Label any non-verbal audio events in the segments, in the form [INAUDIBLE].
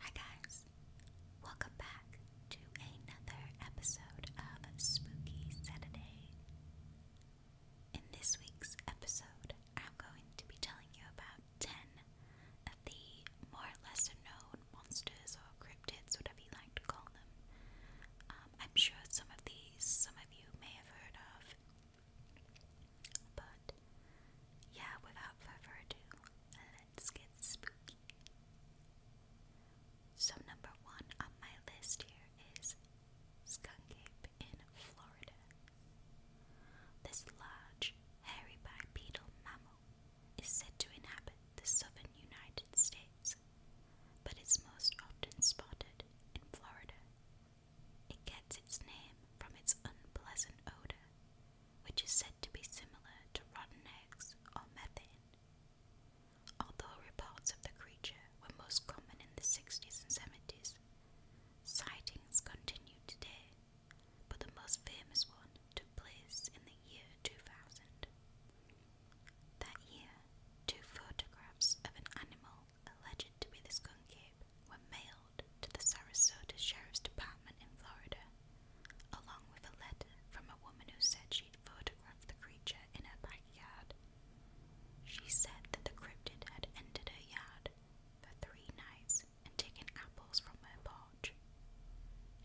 Hi guys, welcome back to another episode of Spooky Saturday. In this week's episode, I'm going to be telling you about 10 of the more lesser known monsters or cryptids, whatever you like to call them. Um, I'm sure some of these, some of you may have heard of, but yeah, without further ado, let's get spooky. So, number one on my list here is Skunk Ape in Florida. This large, hairy bipedal mammal is said to inhabit the southern United States, but is most often spotted in Florida. It gets its name from its unpleasant odor which is said to be similar to rotten eggs or methane. Although reports of the creature were most common in the 60s and 70s, sightings continue today, but the most famous one took place in the year 2000. That year, two photographs of an animal alleged to be the skunk were mailed to the Sarasota Sheriff's Department in Florida, along with a letter from a woman who said she'd photographed the creature in her backyard. She said that the cryptid had entered her yard for three nights and taken apples from her porch.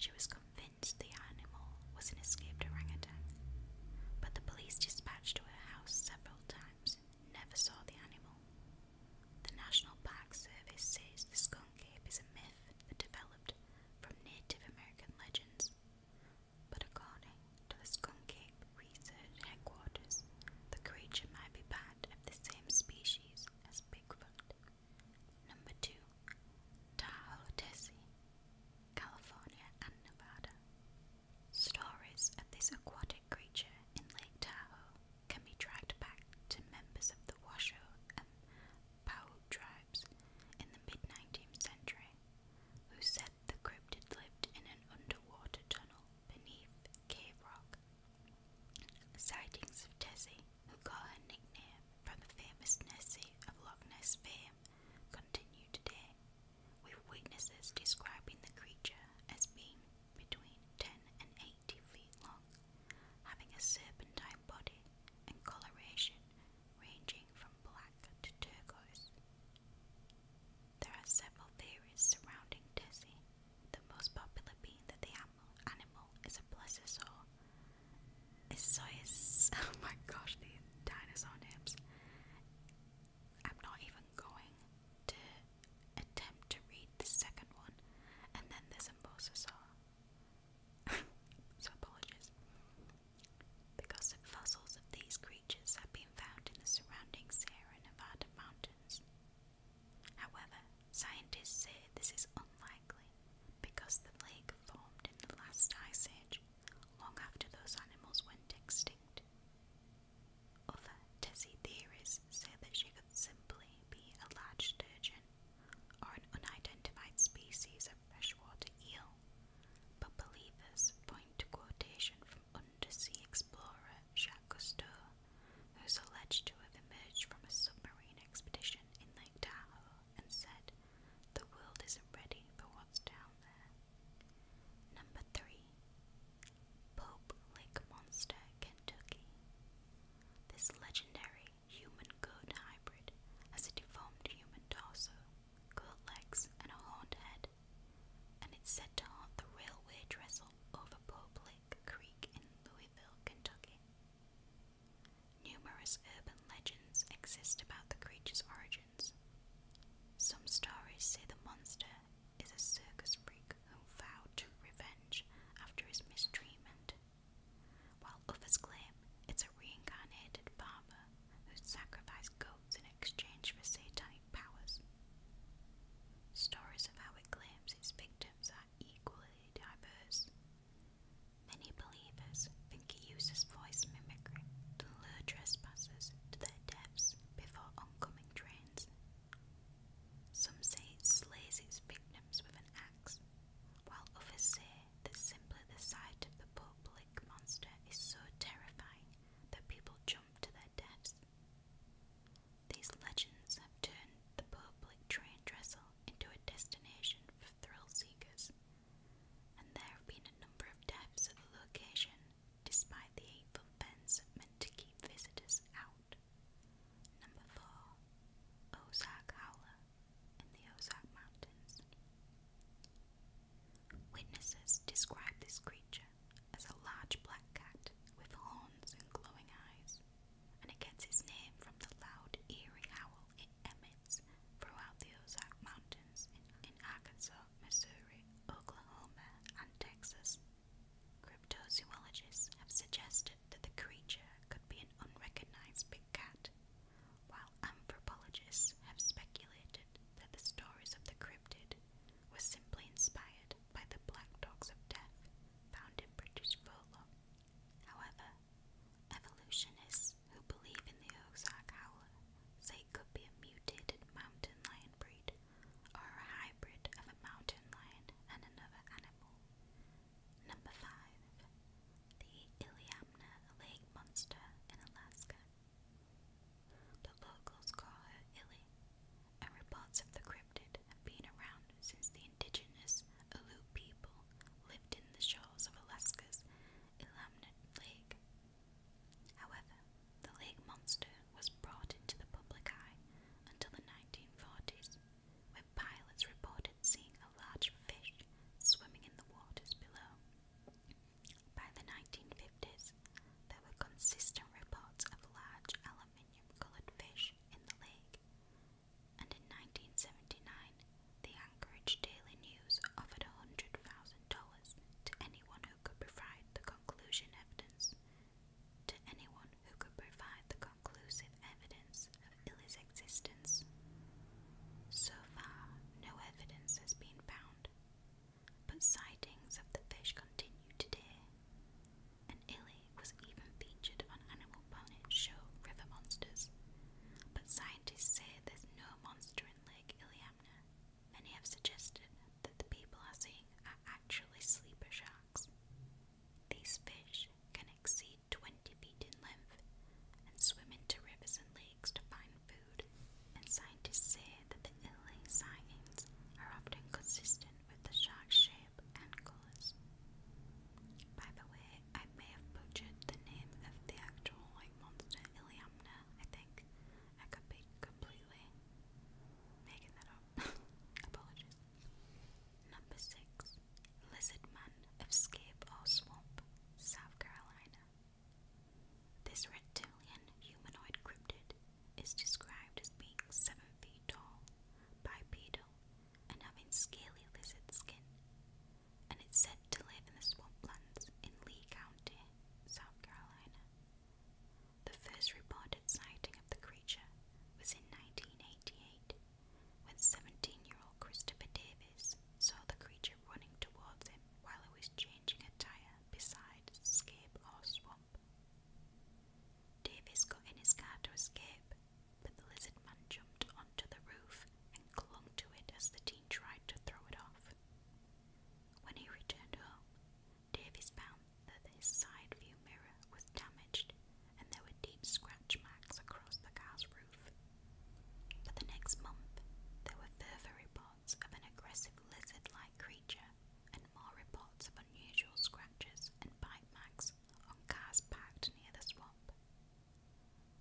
She was convinced the animal was an escaped orangutan, but the police dispatched to her house several times never saw the animal. The National Park Service says the skunk ape is a myth that developed from Native American legends. But according to the Skunk Ape Research Headquarters, the creature might be part of the same species as Bigfoot. Number 2. Tahoe, California and Nevada. Stories of this aquatic creature in Lake Tahoe can be tracked back to members of the Washoe and Powell tribes in the mid 19th century, who said the cryptid lived in an underwater tunnel beneath cave rock. Sightings of Tessie, who got her nickname from the famous Nessie of Loch Ness fame, continue today, with witnesses describing the creature as being between 10 and 8 feet long, having a serpentine body and coloration ranging from black to turquoise. There are several theories surrounding Dizzy. the most popular being that the animal is a plesiosaur. Is [LAUGHS] oh my gosh, these dinosaur names. I'm not even going to attempt to read the second one, and then there's a saw. [LAUGHS] so apologies. Because fossils of these creatures have been found in the surrounding Sierra Nevada mountains. However, scientists say this is unlikely because the lake formed in the last ice age, long after those animals went extinct. Other Tessie theories say that she could simply be a large sturgeon or an unidentified species of freshwater eel, but believers point to quotation from undersea explorer Jacques Cousteau, who's alleged to have emerged from a submarine expedition in Lake Tahoe and said, The world isn't ready for what's down there. Number three, Pope Lake Monster, Kentucky. This legendary human goat hybrid has a deformed human torso, goat legs, and a horned head, and it's said to haunt the railway trestle over Pope Lake Creek in Louisville, Kentucky. Numerous urban legends exist about the creature's origins. Some stories say the monster is a circus freak who vowed to revenge after his mistreatment, while others claim it's a reincarnated farmer who sacrificed goats in exchange for satanic powers. Stories of how it claims its victims are equally diverse. Many believers think it uses voice mimicry to lure trespassers to their deaths before oncoming trains some say it slays its victims with an axe, while others say that simply the sight of the public monster is so terrifying that people jump to their deaths. These legends have turned the public train trestle into a destination for thrill seekers, and there have been a number of deaths at the location despite the eight foot fence meant to keep visitors out. Number 4. Ozark Howler in the Ozark Mountains. Witnesses describe this creature as a large black cat with horns and glowing eyes, and it gets its name from the loud, eerie howl it emits throughout the Ozark Mountains in, in Arkansas, Missouri, Oklahoma, and Texas. Cryptozoologists have suggested that the creature could be an unrecognized big cat, while anthropologists have speculated that the stories of the cryptid were simply inspired by the black dogs of death found in British folklore. However, evolutionists who believe in the Ozark howler say it could be a mutated mountain lion breed or a hybrid of a mountain lion and another animal. Number 5. The Iliamna Lake Monster in Alaska. The locals call her Ili, and reports of the cryptid have around since the indigenous Aleut people lived in the shores of Alaska's Iliamna Lake. However, the lake monster was brought into the public eye until the 1940s, where pilots reported seeing a large fish swimming in the waters below. By the 1950s, there were consistent reports of large aluminium coloured fish in the lake, and in 1979, the Anchorage Daily News offered $100,000 to anyone who could provide the conclusion evidence to anyone who could provide the conclusive evidence of Illy's existence. So far, no evidence has been found, but sightings of the fish continue today, and Illy was even featured on Animal Planet's show River Monsters, but scientists say there's no monster in Lake Iliamna. Many have suggested that the people are seeing are actually sleeper sharks. These fish can exceed 20 feet in length and swim into rivers and lakes to find food, and scientists say that the early sightings are often consistent with the shark's shape and colours. By the way, I may have butchered the name of the actual monster, Iliamna, I think. I could be completely making that up. Apologies. Number six, Lizardman of Scape Swamp, South Carolina. This reptilian humanoid cryptid is described as being seven feet tall, bipedal, and having scaly lizard skin, and it's said to live in the swamplands in Lee County, South Carolina. The first reported sighting of the creature was in 1988 when 17 year old Christopher Davis saw the creature running towards him while he was changing a tyre beside Scape or Swamp. Davis got in his car to escape, but the lizard man jumped onto the roof and clung to it as the teen tried to throw it off. When he returned home, Davies found that his side view mirror was damaged and there were deep scratch marks across the car's roof. For the next month, there were further reports of an aggressive lizard like creature and more reports of unusual scratches and bite marks on cars parked near the swamp.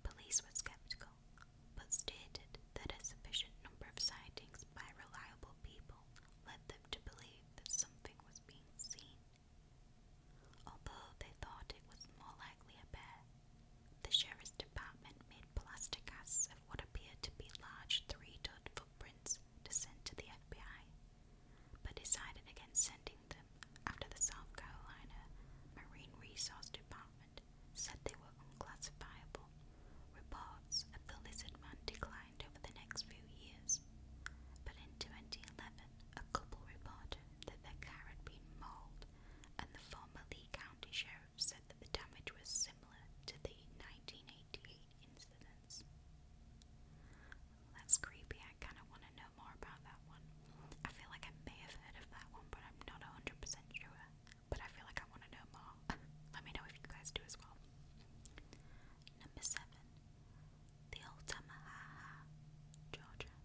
Police were skeptical, but stated that a sufficient number of sightings by reliable people led them to believe that something was being seen. Although they thought it was more likely a bear, the sheriff's department made plaster casts of what appeared to be large three-toed footprints to send to the FBI, but decided against sending them after the South Carolina Marine Resource Department said they were unclassifiable available. Reports of the lizard man declined over the next few years, but in 2011 a couple reported that their car had been mauled, and the former Lee County Sheriff said that the damage was similar to the 1988 incidents. That's creepy, I kind of want to know more about that one. I feel like I may have heard of that one, but I'm not 100% sure. But I feel like I want to know more. [LAUGHS] Let me know if you guys do as well. Number seven, the old Tamahaha, Georgia.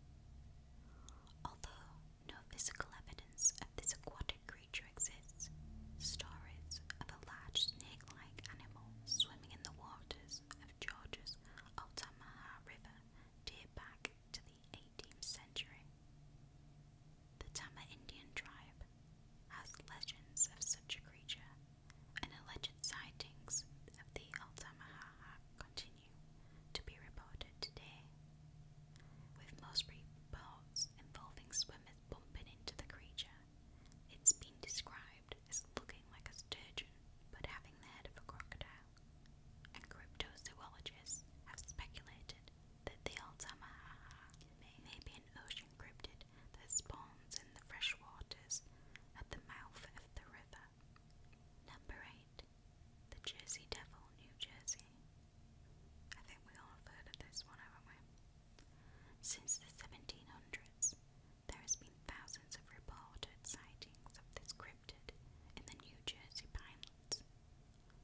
Although no physical evidence of this aquatic creature exists, stories of a large snake-like animal swimming in the waters of Georgia's Altamaha River date back to the 18th century. The Tama Indian tribe has legends of such a creature, and alleged sightings of the Altamaha continue to be reported today, with most reports involving swimmers bumping into the creature. It's been described as looking like a sturgeon but having the head of a crocodile, and cryptozoologists have speculated that the Altamaha may be ocean cryptid that spawns in the fresh waters at the mouth of the river. Number 8. The Jersey Devil, New Jersey. I think we all have heard of this one, haven't we? Since the 1700s, there have been thousands of reported sightings of this cryptid in the New Jersey Pinelands.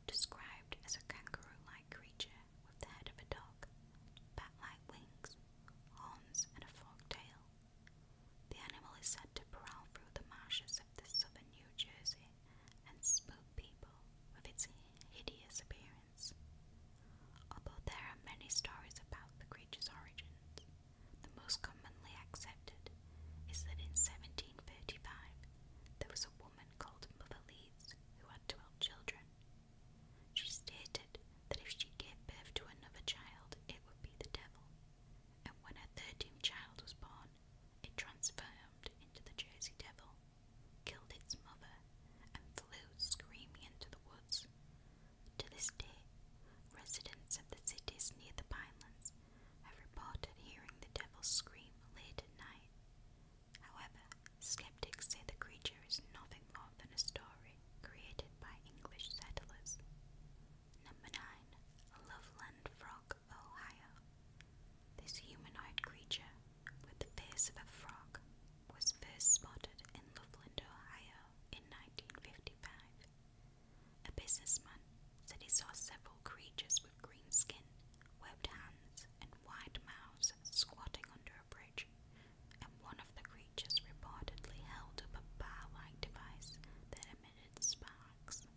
Described as a kangaroo like creature with the head of a dog, bat-like wings, horns, and a forked tail. The animal is said to prowl through the marshes of the southern New Jersey and spook people with its hideous appearance. Although there are many stories about the creature's origins, the most commonly accepted is that in 1735 there was a woman called Mother who had twelve children, she stated that if she gave birth to another child, it would be the devil, and when her third child was born, it transformed into the Jersey Devil, killed its mother, and flew screaming into the woods. To this day, residents of the cities near the Pinelands have reported hearing the devil scream late at night, However, skeptics say the creature is nothing more than a story created by English settlers. Number 9. Loveland Frog, Ohio. This humanoid creature, with the face of a frog, was first spotted in Loveland, Ohio in 1955. A businessman said he saw several creatures with green skin webbed hands, and wide mouths squatting under a bridge, and one of the creatures reportedly held up a bar like device that emitted sparks,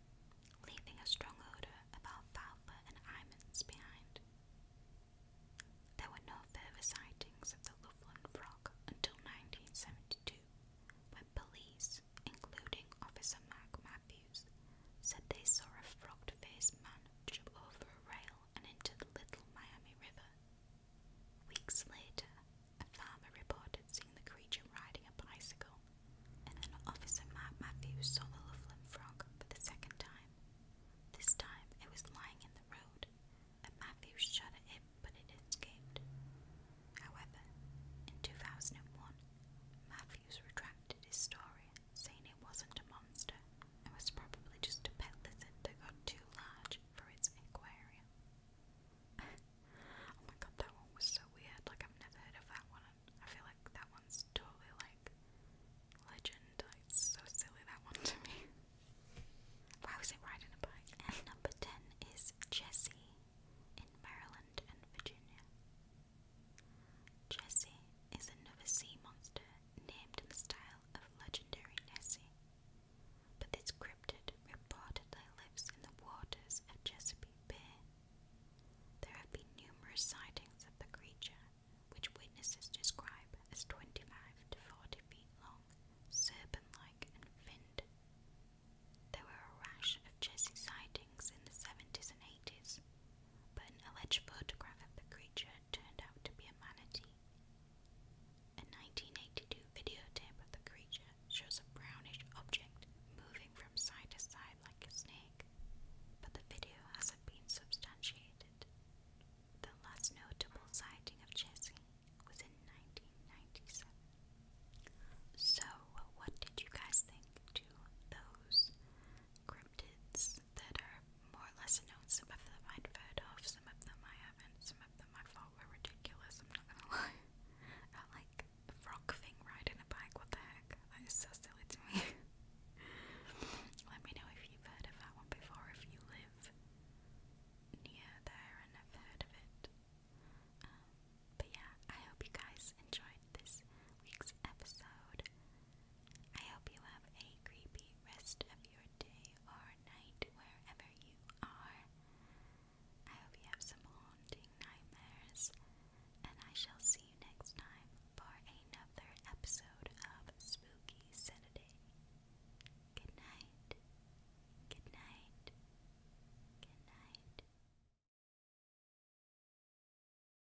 leaving a strong odour of alfalfa and almonds behind. There were no further sightings of the Loveland frog until 1972, when police, including Officer Mark Matthews, leaves, said they saw a frogged faced man jump over a rail and into the Little Miami River. Weeks later, a farmer reported seeing the creature riding a bicycle, and then Officer Mark Matthews saw the Loveland frog for the second time. This time it was lying in the road, and Matthews shot at it, but it escaped. However, in 2001, Matthews retracted his story saying it wasn't a monster and was probably just a pet lizard that got too large for its aquarium. [LAUGHS] oh my god, that one was so weird. Like, I've never heard of that one. I feel like that one's totally like legend. it's so silly, that one to me. [LAUGHS] Why was it riding a bike? And number 10 is Jessie in Maryland and Virginia. Jessie is another sea monster named in the style of legendary Nessie, but this cryptid reportedly lives in the waters of Chesapeake Bay. There have been numerous sightings of the creature, which witnesses describe as 25 to 40 feet long, serpent like, and finned. There were a rash of Jessie sightings in the 70s and 80s, but an alleged photograph of the creature turned out to be a manatee. A 1982 videotape of the creature shows a brownish object moving from side to side like a snake, but the video hasn't been substantiated. The last notable sighting of Jessie was in 1997. So, what did you guys think to those cryptids that are more or less known. Some of them I've heard of, some of them I haven't, some of them I thought were ridiculous, I'm not gonna [LAUGHS] lie. I like the frog thing riding a bike, what the heck? That is so silly to me. [LAUGHS] Let me know if you've heard of that one before, if you live near there and have heard of it. Um, but yeah, I hope you guys enjoyed this week's episode. I hope you have a creepy rest of your day or night wherever you are. I hope you have some haunting nightmares, and I shall see you next time for another episode of Spooky Saturday. Good night. Good night. Good night.